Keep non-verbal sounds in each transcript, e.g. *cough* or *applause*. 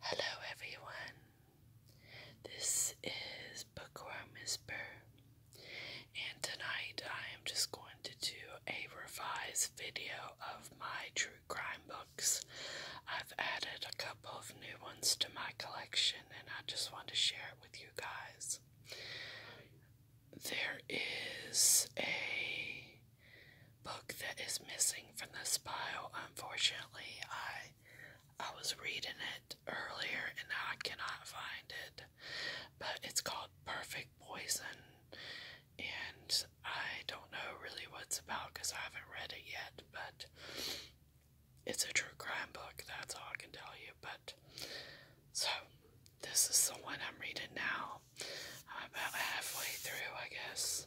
Hello everyone, this is Bookworm Whisper, and tonight I am just going to do a revised video of my true crime books. I've added a couple of new ones to my collection, and I just want to share it with you guys. There is a book that is missing from this pile. Unfortunately, I I was reading it earlier and now I cannot find it. But it's called Perfect Poison and I don't know really what it's about because I haven't read it yet, but it's a true crime book, that's all I can tell you. But so this is the one I'm reading now. I'm about halfway through, I guess.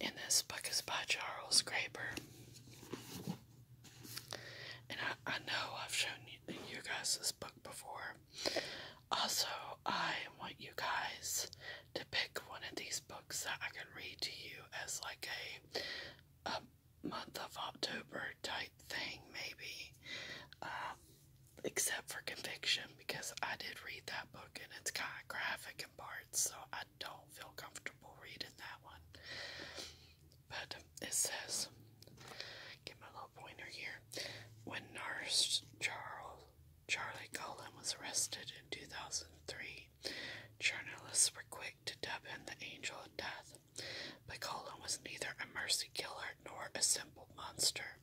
and this book is by Charles Graber. And I, I know I've shown you, guys this book before. Also, I want you guys to pick one of these books that I can read to you as like a, a month of October type thing, maybe. Um, except for Conviction, because I did read that book and it's kind of graphic in parts, so I don't feel comfortable reading that one. But it says, get my little pointer here. When nurse Charles Charlie Cullen was arrested in 2003, journalists were quick to dub him the angel of death. But Cullen was neither a mercy killer nor a simple monster.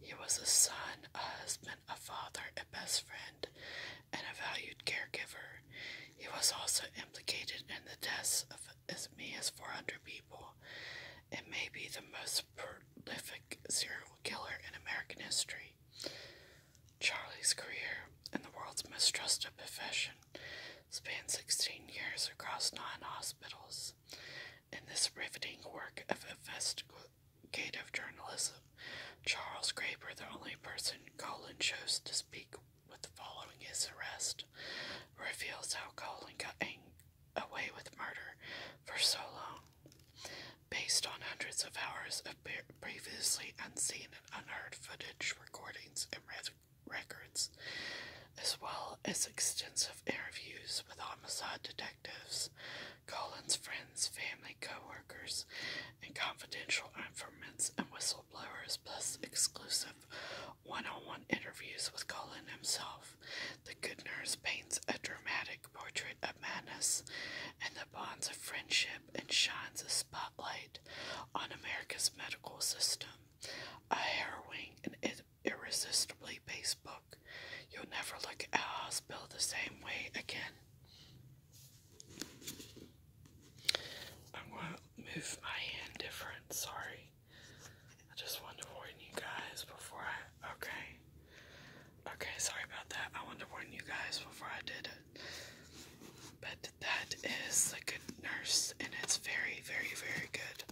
He was a son, a husband, a father, a best friend, and a valued caregiver. He was also implicated in the deaths of as many as 400 people and may be the most prolific serial killer in American history. Charlie's career in the world's most trusted profession spanned 16 years across nine hospitals in this riveting work of investigative journalism, Charles Graber, the only person Colin chose to speak with following his arrest, reveals how Colin got away with murder for so long. Based on hundreds of hours of previously unseen and unheard footage, recordings, and records, as well as extensive interviews with homicide detectives Colin's friends, family, co-workers, and confidential informants and whistleblowers, plus exclusive one-on-one -on -one interviews with Colin himself. The Good Nurse paints a dramatic portrait of madness and the bonds of friendship and shines a spotlight on America's medical system. A harrowing and irresistibly based You'll never look at a hospital the same way again. I'm going to move my hand different, sorry. I just wanted to warn you guys before I. Okay. Okay, sorry about that. I wanted to warn you guys before I did it. But that is the good nurse, and it's very, very, very good.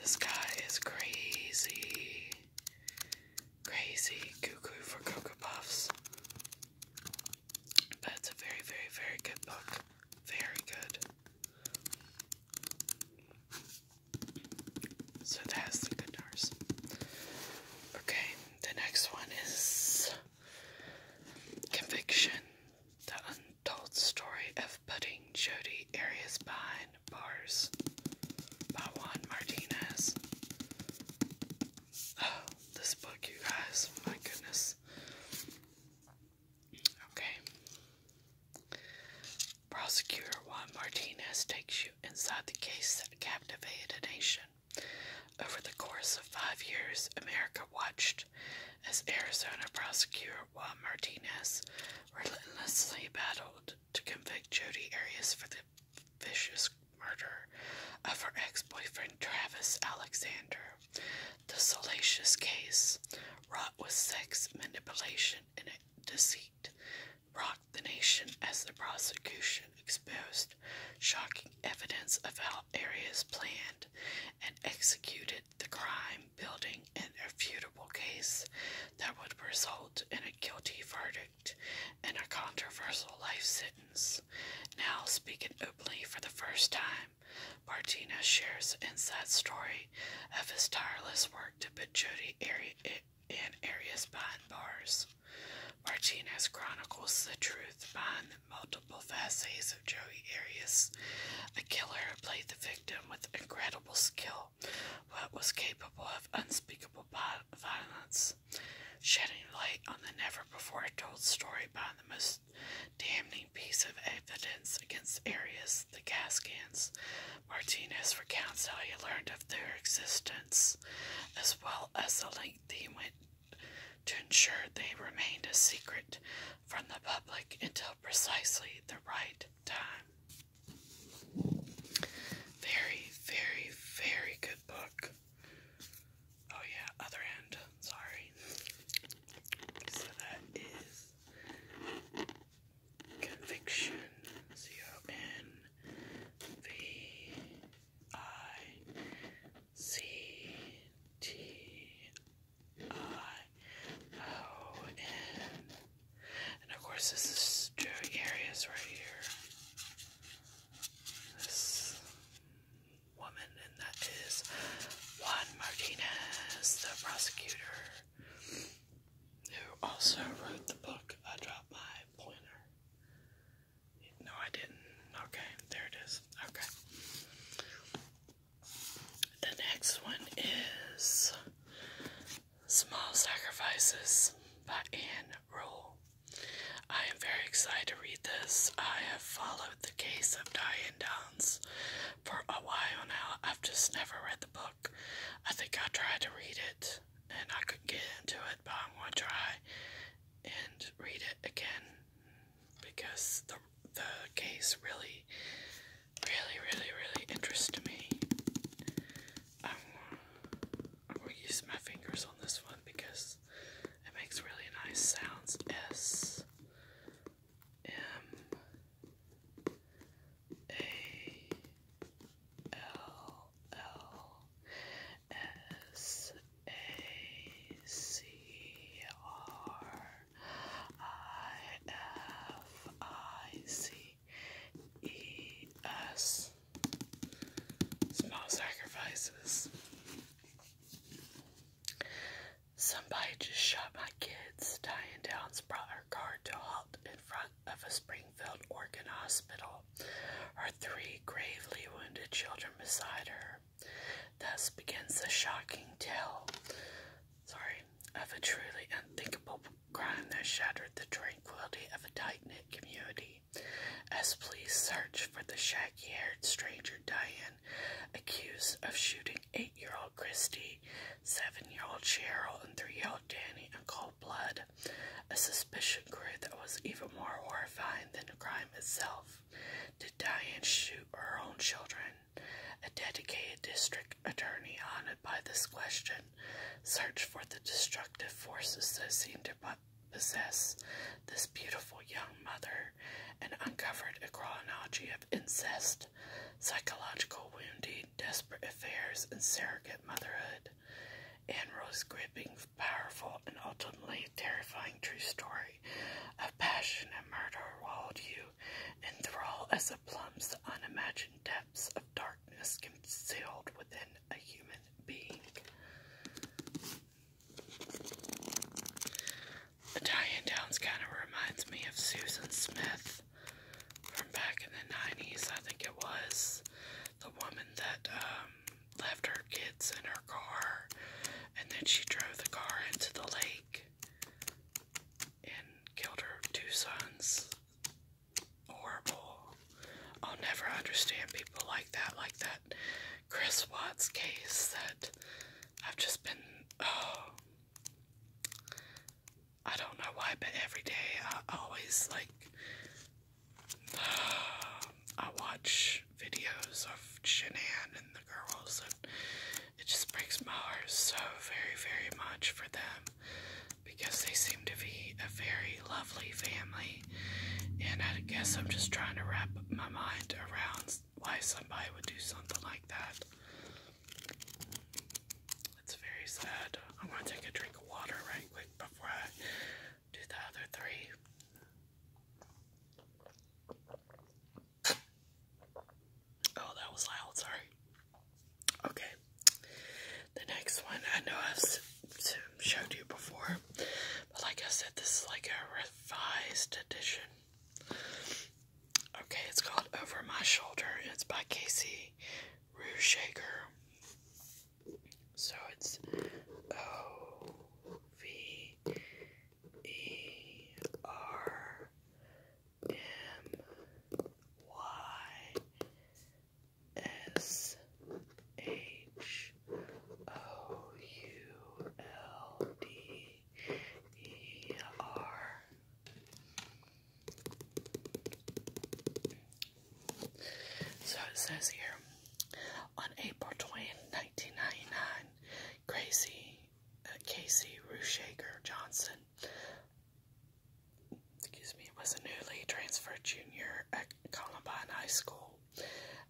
This guy is crazy. Crazy cuckoo for Cocoa Puffs. But it's a very, very, very good book. Very good. So that's the guitars. Okay, the next one is Conviction. The untold story of putting Jody Arias behind bars Juan Martinez. Oh, this book, you guys, oh, my goodness. Okay. Prosecutor Juan Martinez takes you inside the case that captivated a nation. Over the course of five years, America watched as Arizona prosecutor Juan Martinez relentlessly battled to convict Jodi Arias for the vicious murder of her ex boyfriend Travis Alexander. The salacious case, wrought with sex manipulation and deceit, rocked the nation as the prosecution exposed shocking evidence of how Arias planned and executed the crime in building an irrefutable case that would result in a guilty verdict and a controversial life sentence. Now, speaking openly for the first time, Martinez shares the inside story of his tireless work to put Jodi and Arias behind bars. Martinez chronicles the truth behind the multiple facets of Joey Arias, a killer who played the victim with incredible skill what was capable of unspeakable violence, shedding light on the never before told story by the most damning piece of evidence against Arias, the gas Martinez recounts how he learned of their existence, as well as the length he went to ensure they remained a secret from the public until precisely the right time. Very, very, very good book. Oh, yeah, other end. Sorry. So that is Conviction. C O N V I C T I Oh, and, of course this is Joey Arias right here. This woman, and that is Juan Martinez, the prosecutor, who also wrote the book I Dropped My Pointer. No, I didn't. Okay, there it is. Okay. The next one is Small Sacrifices by Anne Rule. I am very excited to read this. I have followed the case of Diane Downs for a while now. I've just never read the book. I think I tried to read it and I couldn't get into it, but I'm going to try and read it again because the, the case really really, really, really interest me. I'm, I'm going to use my fingers on this one because it makes really nice sounds. S M A L L S A C R I F I C E S. Small sacrifices. Somebody just shot my kids. Diane Downs brought her car to halt in front of a Springfield, Oregon hospital. Her three gravely wounded children beside her. Thus begins the shocking tale. Sorry, of a truly unthinkable crime that shattered the tranquility of a tight-knit community. As police search for the shaggy-haired stranger Diane, accused of shooting eight-year-old Christy, seven-year-old Cheryl, and three-year-old Danny in cold blood, a suspicion grew that was even more horrifying than the crime itself. Did Diane shoot her own children? A dedicated district attorney haunted by this question search for the destructive forces that seem to possess this beautiful young mother and uncovered a chronology of incest, psychological wounding, desperate affairs, and surrogate motherhood. Anne Rose gripping, powerful, and ultimately terrifying true story of passion and murder will hold you enthralled as it plumbs the unimagined depths of darkness. Is concealed within a human being. Italian Downs kind of reminds me of Susan Smith from back in the 90s, I think it was. The woman that um, left her kids in her car and then she drove the car into the lake and killed her two sons horrible. I'll never understand people like that, like that Chris Watts case that I've just been, oh, I don't know why, but every day I always like, *sighs* I watch videos of Shanann and the girls, and it just breaks my heart so very, very much for them because they seem to be a very lovely family. And I guess I'm just trying to wrap my mind around why somebody would do something like that. It's very sad. I'm to take a drink of water right quick before I do the other three. Oh, that was loud, sorry. Okay. The next one I know I've showed you before, but like I said, this is like a revised edition. Okay, it's called Over My Shoulder. it's by Casey Rushaker. So it's O V E R M Y S H O U L D E R. So it says here on April 20, 1999, Gracie uh, Casey Rushaker Johnson excuse me, was a newly transferred junior at Columbine High School.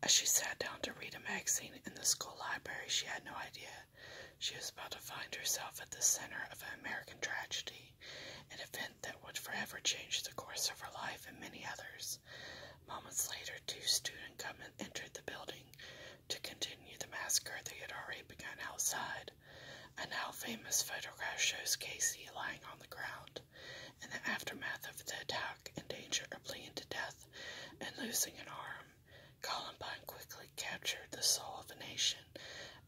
As she sat down to read a magazine in the school library, she had no idea she was about to find herself at the center of an American tragedy, an event that would forever change the course of her life and many others. Moments later, two student gunmen entered the building to continue the massacre they had already begun outside. A now famous photograph shows Casey lying on the ground in the aftermath of the attack, in danger of bleeding to death and losing an arm. Columbine quickly captured the soul of a nation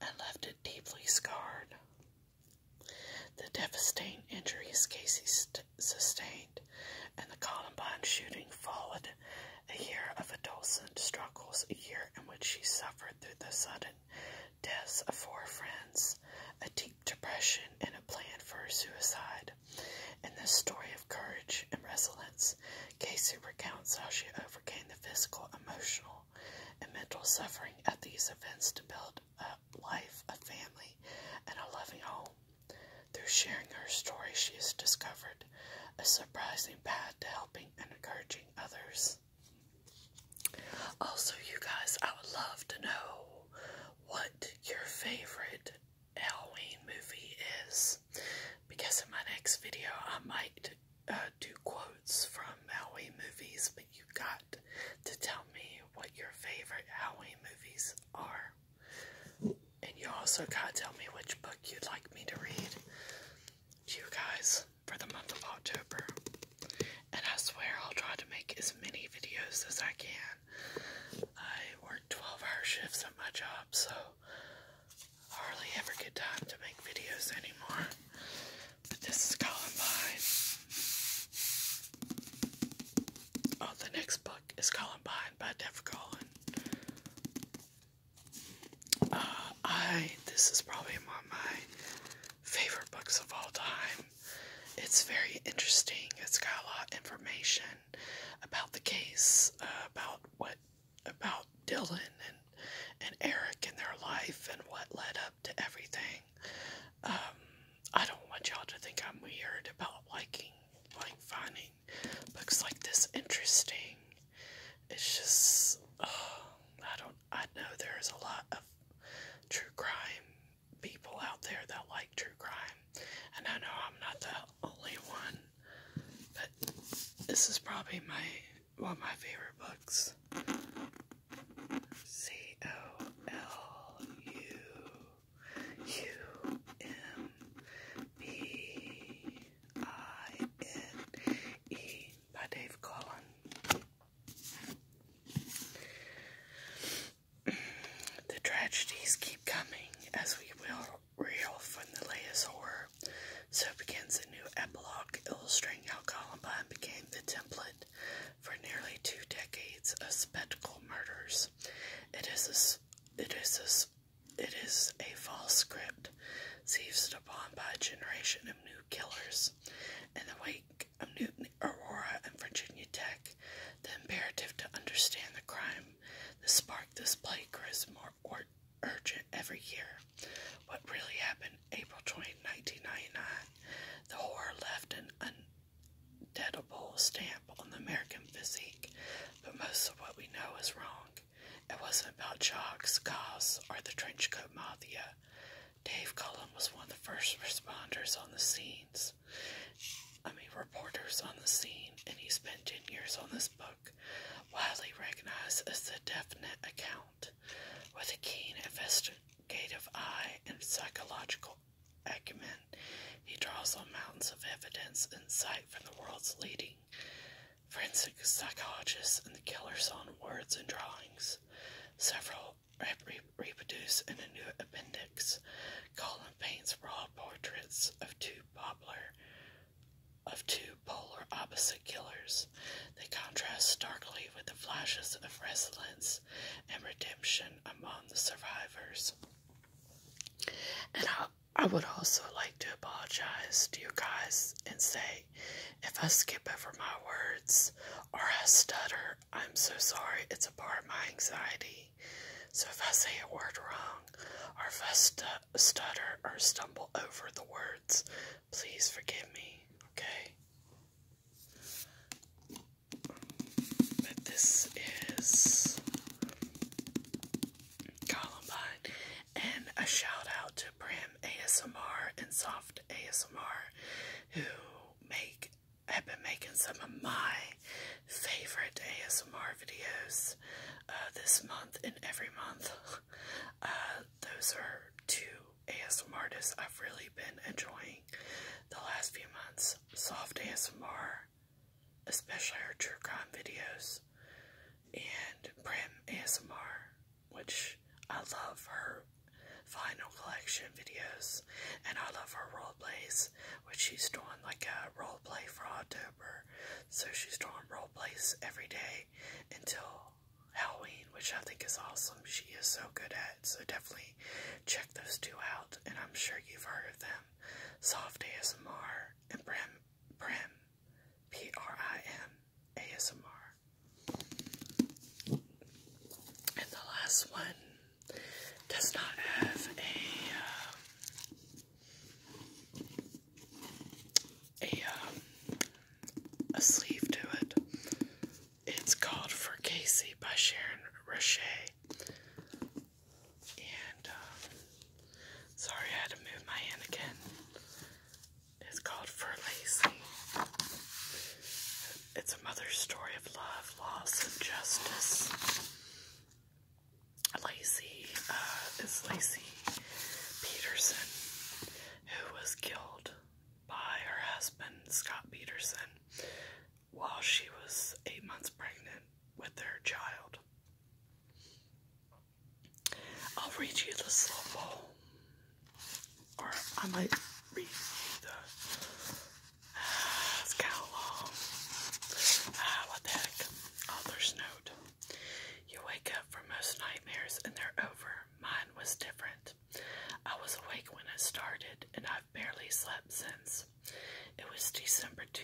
and left it deeply scarred. The devastating injuries Casey sustained and the Columbine shooting followed a year of adolescent struggles, a year in which she suffered through the sudden deaths of four friends, a deep depression, and a plan for suicide. In this story of courage and resilience, Casey recounts how she overcame the physical, emotional, and mental suffering at these events to build a life, a family, and a loving home. Through sharing her story, she has discovered a surprising path to helping and encouraging others. Also, you guys, I would love to know what your favorite Halloween movie is because in my next video I might uh, do quotes from Halloween movies, but you got to tell me what your favorite Halloween movies are. And you also gotta tell me which book you'd like me to read. You guys, for the month of October. And I swear I'll try to make as many videos as I can. I work 12 hour shifts at my job, so I hardly ever get time to make videos anymore. But this is Columbine. Oh, the next book is Columbine by Dev Collin. Uh, I, this is probably my favorite books of all time. It's very interesting. It's got a lot of information about the case, uh, about what about Dylan and and Eric and their life and what led up to everything. Um, I don't want y'all to think I'm weird about liking like finding books like this interesting. It's just uh, I don't I know there's a lot of true crime people out there that like true crime, and I know I'm not the only one, but this is probably my one of my favorite books. C O L U U M B I N E by Dave Cullen. the tragedies keep coming as we will reel from the latest horror. So begins a new epilogue illustrating how Columbine became the template for nearly two decades of spectacle murders. It is a, it is a, it is a false script Scotland, seized upon by a generation of new killers. In the wake of Newton, Aurora, and Virginia Tech, the imperative to understand the crime that sparked this plague grows more or urgent every year. What really happened April 20, 1999, the horror left an undeadable stamp on the American physique, but most of what we know is wrong. It wasn't about jocks, cars, or the trenchcoat coat mafia. Dave Cullen was one of the first responders on the scenes. I mean, reporters on the scene, and he spent 10 years on this book, widely recognized as the definite account, with a keen investigative eye and psychological acumen. He draws on mountains of evidence and insight from the world's leading forensic psychologists and the killers on words and drawings. Several reproduce in a new appendix. Colin paints raw portraits of two popular of two polar opposite killers. They contrast starkly with the flashes of resilience and redemption among the survivors. And I would also like to apologize to you guys and say if I skip over my words or I stutter, I'm so sorry. It's a part of my anxiety. So if I say a word wrong or if I stutter or stumble over the words, please forgive me, okay? But this is Columbine. And a shout out to Brim ASMR and Soft ASMR who make have been making some of my favorite ASMR videos uh, this month and every month. *laughs* Uh, those are two ASMR artists I've really been enjoying the last few months. Soft ASMR, especially her true crime videos, and Prim ASMR which I love her final collection videos and I love her role plays, which she's doing like a role play for October. So she's doing role plays every day until Halloween, which I think is awesome. She is so good at So definitely check those two out. And I'm sure you've heard of them. Soft ASMR and Prim Prim P R I M ASMR. And the last one does not have a uh, a um, a sleeve to it. It's called For Casey by Sharon Roche. And um, sorry, I had to move my hand again. It's called For Lacy. It's a mother's story of love, loss, and justice. Lacy uh, is Lacey Peterson, who was killed by her husband, Scott Peterson, while she was eight months pregnant with their child. I'll read you the little poem. Or I might read the uh, *sighs* Author's note. You wake up from most nightmares and they're over. Mine was different. I was awake when it started, and I've barely slept since. It was December 2,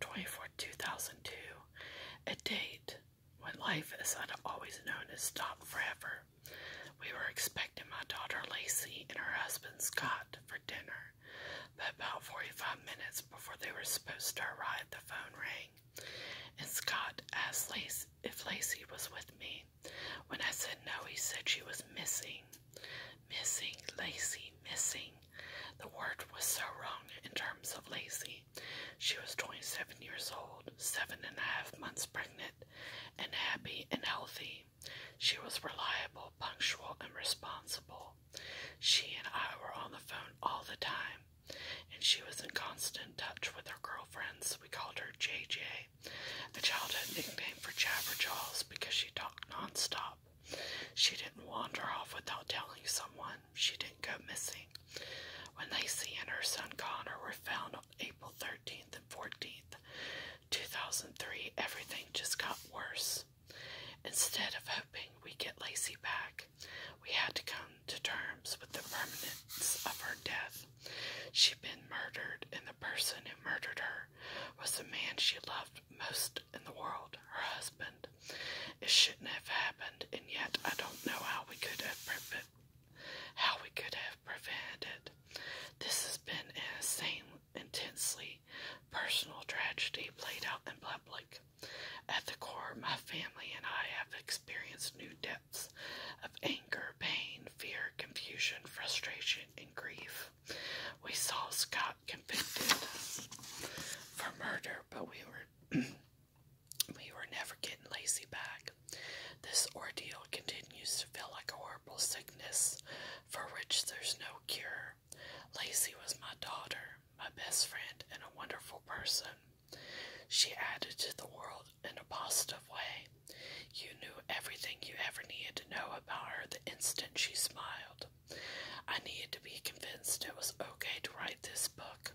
24, 2002, a date when life, as i always known it, stopped forever, we were expecting my daughter Lacey and her husband Scott for dinner, but about 45 minutes before they were supposed to arrive, the phone rang, and Scott asked Lacey if Lacey was with me. When I said no, he said she was missing. Missing, Lacey, missing. The word was so wrong in terms of Lacey. She was 27 years old, seven and a half months pregnant and happy and healthy. She was reliable, punctual, and responsible. She and I were on the phone all the time, and she was in constant touch with her girlfriends. We called her JJ, a childhood nickname for Jabberjaws because she talked nonstop. She didn't wander off without telling someone. She didn't go missing. When Lacey and her son Connor were found on April 13th and 14th, 2003, everything just got worse. Instead of hoping we get Lacey back, we had to come to terms with the permanence of her death. She'd been murdered, and the person who murdered her was the man she loved most in the world, her husband. It shouldn't have happened, and yet I don't know how we could have how we could have prevented it. This has been an insane, intensely personal tragedy played out in public. At the core, my family and I have experienced new depths of anger, pain, fear, confusion, frustration, and grief. We saw Scott convicted for murder, but we were *clears throat* We were never getting Lacey back. This ordeal continues to feel like a horrible sickness for which there's no cure. Lacey was my daughter, my best friend, and a wonderful person. She added to the world in a positive way. You knew everything you ever needed to know about her the instant she smiled. I needed to be convinced it was okay to write this book,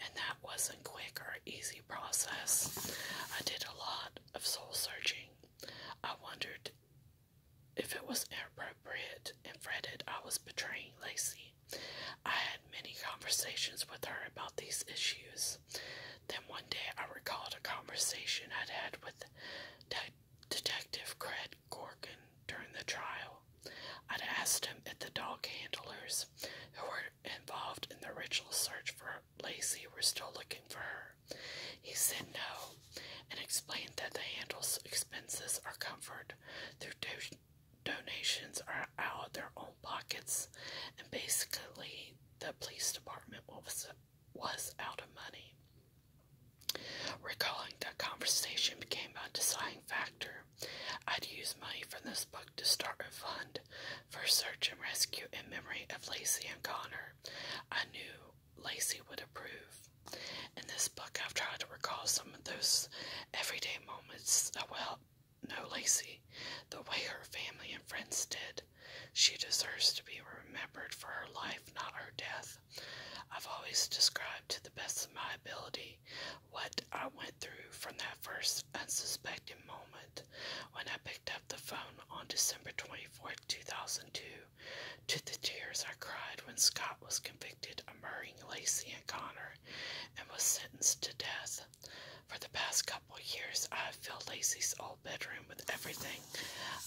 and that wasn't quick or easy process. I did a lot of soul searching. I wondered if it was inappropriate and fretted I was betraying Lacey. I had many conversations with her about these issues. Then one day I recalled a conversation I'd had with Detective Craig Gorkin during the trial. I'd asked him if the dog handlers who were involved in the ritual search for Lacey were still looking for her. He said no and explained that they handle expenses or comfort Their donations are out of their own pockets and basically the police department was, was out of money. Recalling that conversation became a deciding factor. I'd use money for this book to start a fund for search and rescue in memory of Lacey and Connor. I knew Lacey would approve. In this book, I've tried to recall some of those everyday moments Well, no, know Lacey, the way her family and friends did. She deserves to be remembered for her life, not her death. I've always described to the best of my ability what I went through from that first unsuspecting moment when I picked picked up the phone on December 24, 2002, to the tears I cried when Scott was convicted of murdering Lacey and Connor and was sentenced to death. For the past couple years, I have filled Lacey's old bedroom with everything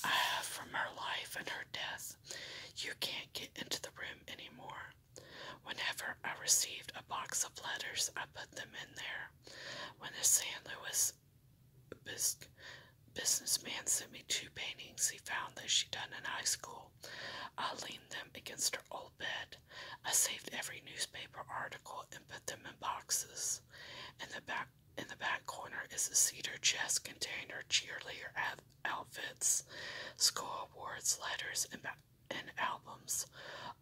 I have from her life and her death. You can't get into the room anymore. Whenever I received a box of letters, I put them in there. When this San Luis businessman sent me two paintings he found that she'd done in high school. I leaned them against her old bed. I saved every newspaper article and put them in boxes. In the back in the back corner is a cedar chest containing her cheerleader outfits, school awards, letters, and and albums,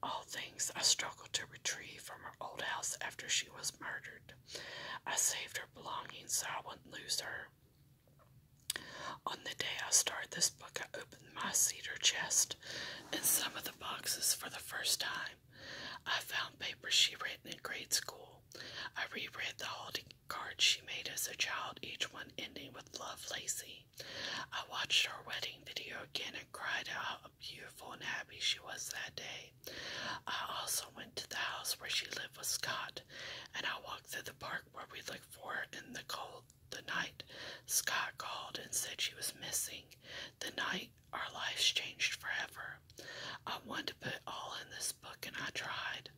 all things I struggled to retrieve from her old house after she was murdered. I saved her belongings so I wouldn't lose her. On the day I started this book, I opened my cedar chest and some of the boxes for the first time. I found papers she written in grade school. I reread the holiday cards she made as a child, each one ending with Love Lacy." I watched her wedding video again and cried how beautiful and happy she was that day. I also went to the house where she lived with Scott, and I walked through the park where we looked for her in the cold. The night Scott called and said she was missing, the night our lives changed forever. I wanted to put all in this book, and I tried.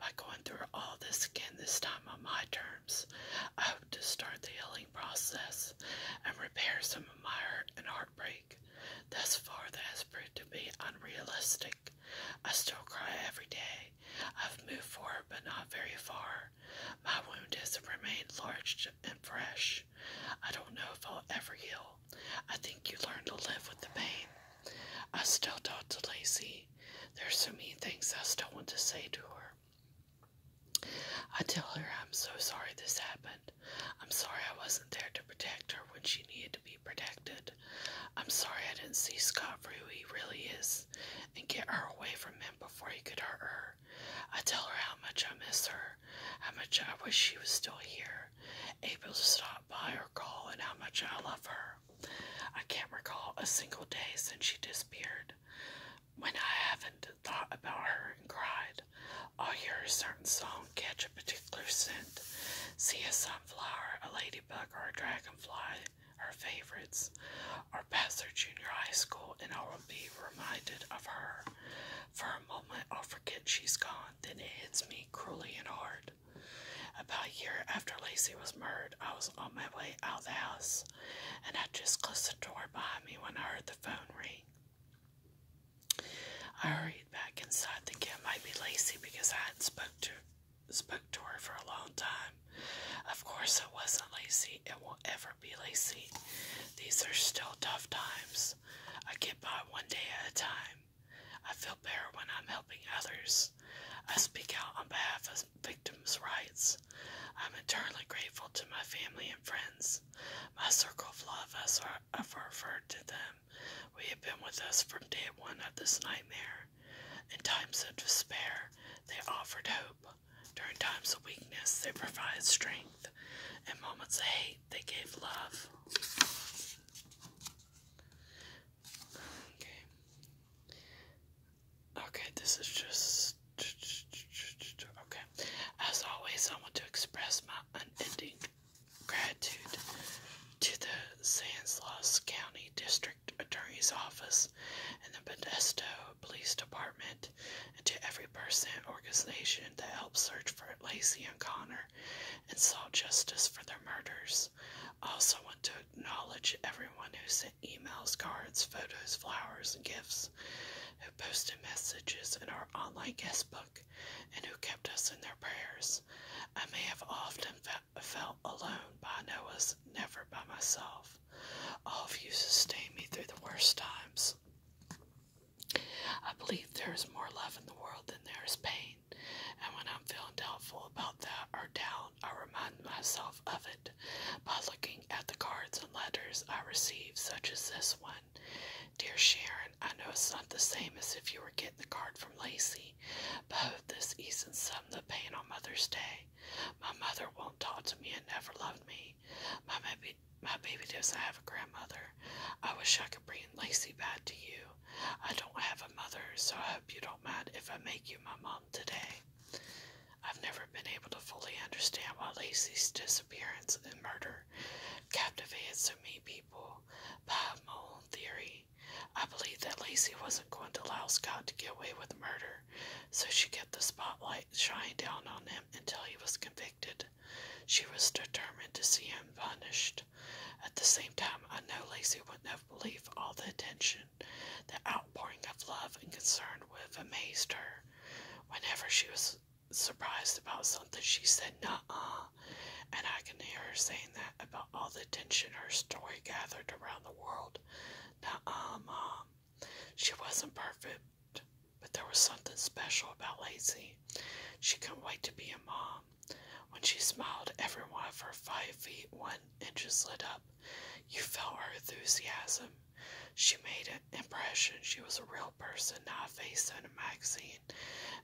By going through all this again, this time on my terms, to start the healing process and repair some of my hurt and heartbreak. Thus far, that has proved to be unrealistic. I still cry every day. I've moved forward, but not very far. My wound has remained large and fresh. I don't know if I'll ever heal. I think you learn to live with the pain. I still talk to Lacey. There's so many things I still want to say to her. I tell her I'm so sorry this happened. I'm sorry I wasn't there to protect her when she needed to be protected. I'm sorry I didn't see Scott for who he really is and get her away from him before he could hurt her. I tell her how much I miss her, how much I wish she was still here, able to stop by or call, and how much I love her. I can't recall a single day since she disappeared. When I haven't thought about her and cried, all will a certain song, catch a particular scent, see a sunflower, a ladybug, or a dragonfly, her favorites, or pass her junior high school, and I will be reminded of her. For a moment, I'll forget she's gone, then it hits me cruelly and hard. About a year after Lacey was murdered, I was on my way out the house, and I just closed the door behind me when I heard the phone ring. I hurried back inside thinking it might be Lacey because I hadn't spoke to, spoke to her for a long time. Of course it wasn't Lacey. It won't ever be Lacey. These are still tough times. I get by one day at a time. I feel better when I'm helping others. I speak out on behalf of victims' rights. I'm eternally grateful to my family and friends. My circle of love, has ever referred to them, we have been with us from day one of this nightmare. In times of despair, they offered hope. During times of weakness, they provided strength. In moments of hate, they gave love. Okay. Okay, this is just Okay. As always, I want to express my unending gratitude to the San Luis County District Attorney's Office and the Modesto Police Department, and to every person organization that helped search for Lacey and Connor and sought justice for their murders. I also want to acknowledge everyone who sent emails, cards, photos, flowers, gifts who posted messages in our online guest book, and who kept us in their prayers. I may have often felt alone, but I know I never by myself. All of you sustained me through the worst times. I believe there is more love in the world than there is pain, and when I'm feeling doubtful about that or down, I remind myself of it by looking at the cards and letters I receive, such as this one. Dear Sharon, I know it's not the same as if you were getting the card from Lacey, but I hope this eases some of the pain on Mother's Day. My mother won't talk to me and never loved me. My baby, my baby doesn't have a grandmother. I wish I could bring Lacey back to you. I don't have a mother, so I hope you don't mind if I make you my mom today. I've never been able to fully understand why Lacey's disappearance and murder captivated so many people by my own theory. I believe that Lacey wasn't going to allow Scott to get away with murder, so she kept the spotlight shining down on him until he was convicted. She was determined to see him punished. At the same time, I know Lacey wouldn't have believed all the attention, the outpouring of love and concern would have amazed her. Whenever she was surprised about something, she said, Nuh uh. And I can hear her saying that about all the attention her story gathered around the world. Nuh uh, Mom. She wasn't perfect, but there was something special about Lacy. She couldn't wait to be a mom. When she smiled, every one of her five feet one inches lit up. You felt her enthusiasm she made an impression. She was a real person, not a face in a magazine,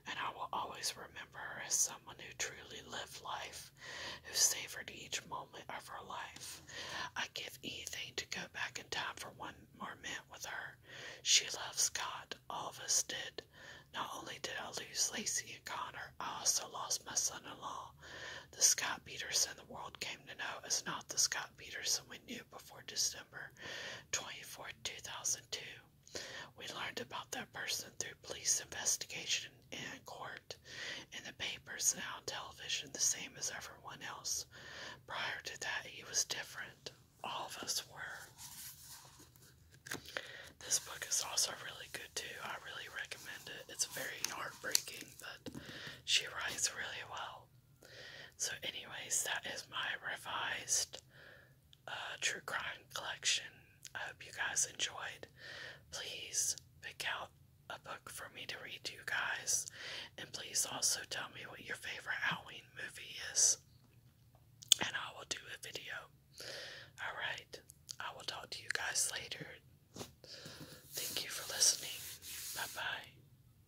and I will always remember her as someone who truly lived life, who savored each moment of her life. I'd give anything to go back in time for one more minute with her. She loved Scott. All of us did. Not only did I lose Lacey and Connor, I also lost my son in law. The Scott Peterson the world came to know is not the Scott Scott Peterson we knew before December 24, 2002. We learned about that person through police investigation and court, in the papers and on television, the same as everyone else. Prior to that, he was different. All of us were. This book is also really good too. I really recommend it. It's very heartbreaking, but she writes really well. So, anyways, that is my revised uh, true crime collection. I hope you guys enjoyed. Please pick out a book for me to read to you guys, and please also tell me what your favorite Halloween movie is, and I will do a video. Alright, I will talk to you guys later. Thank you for listening. Bye bye.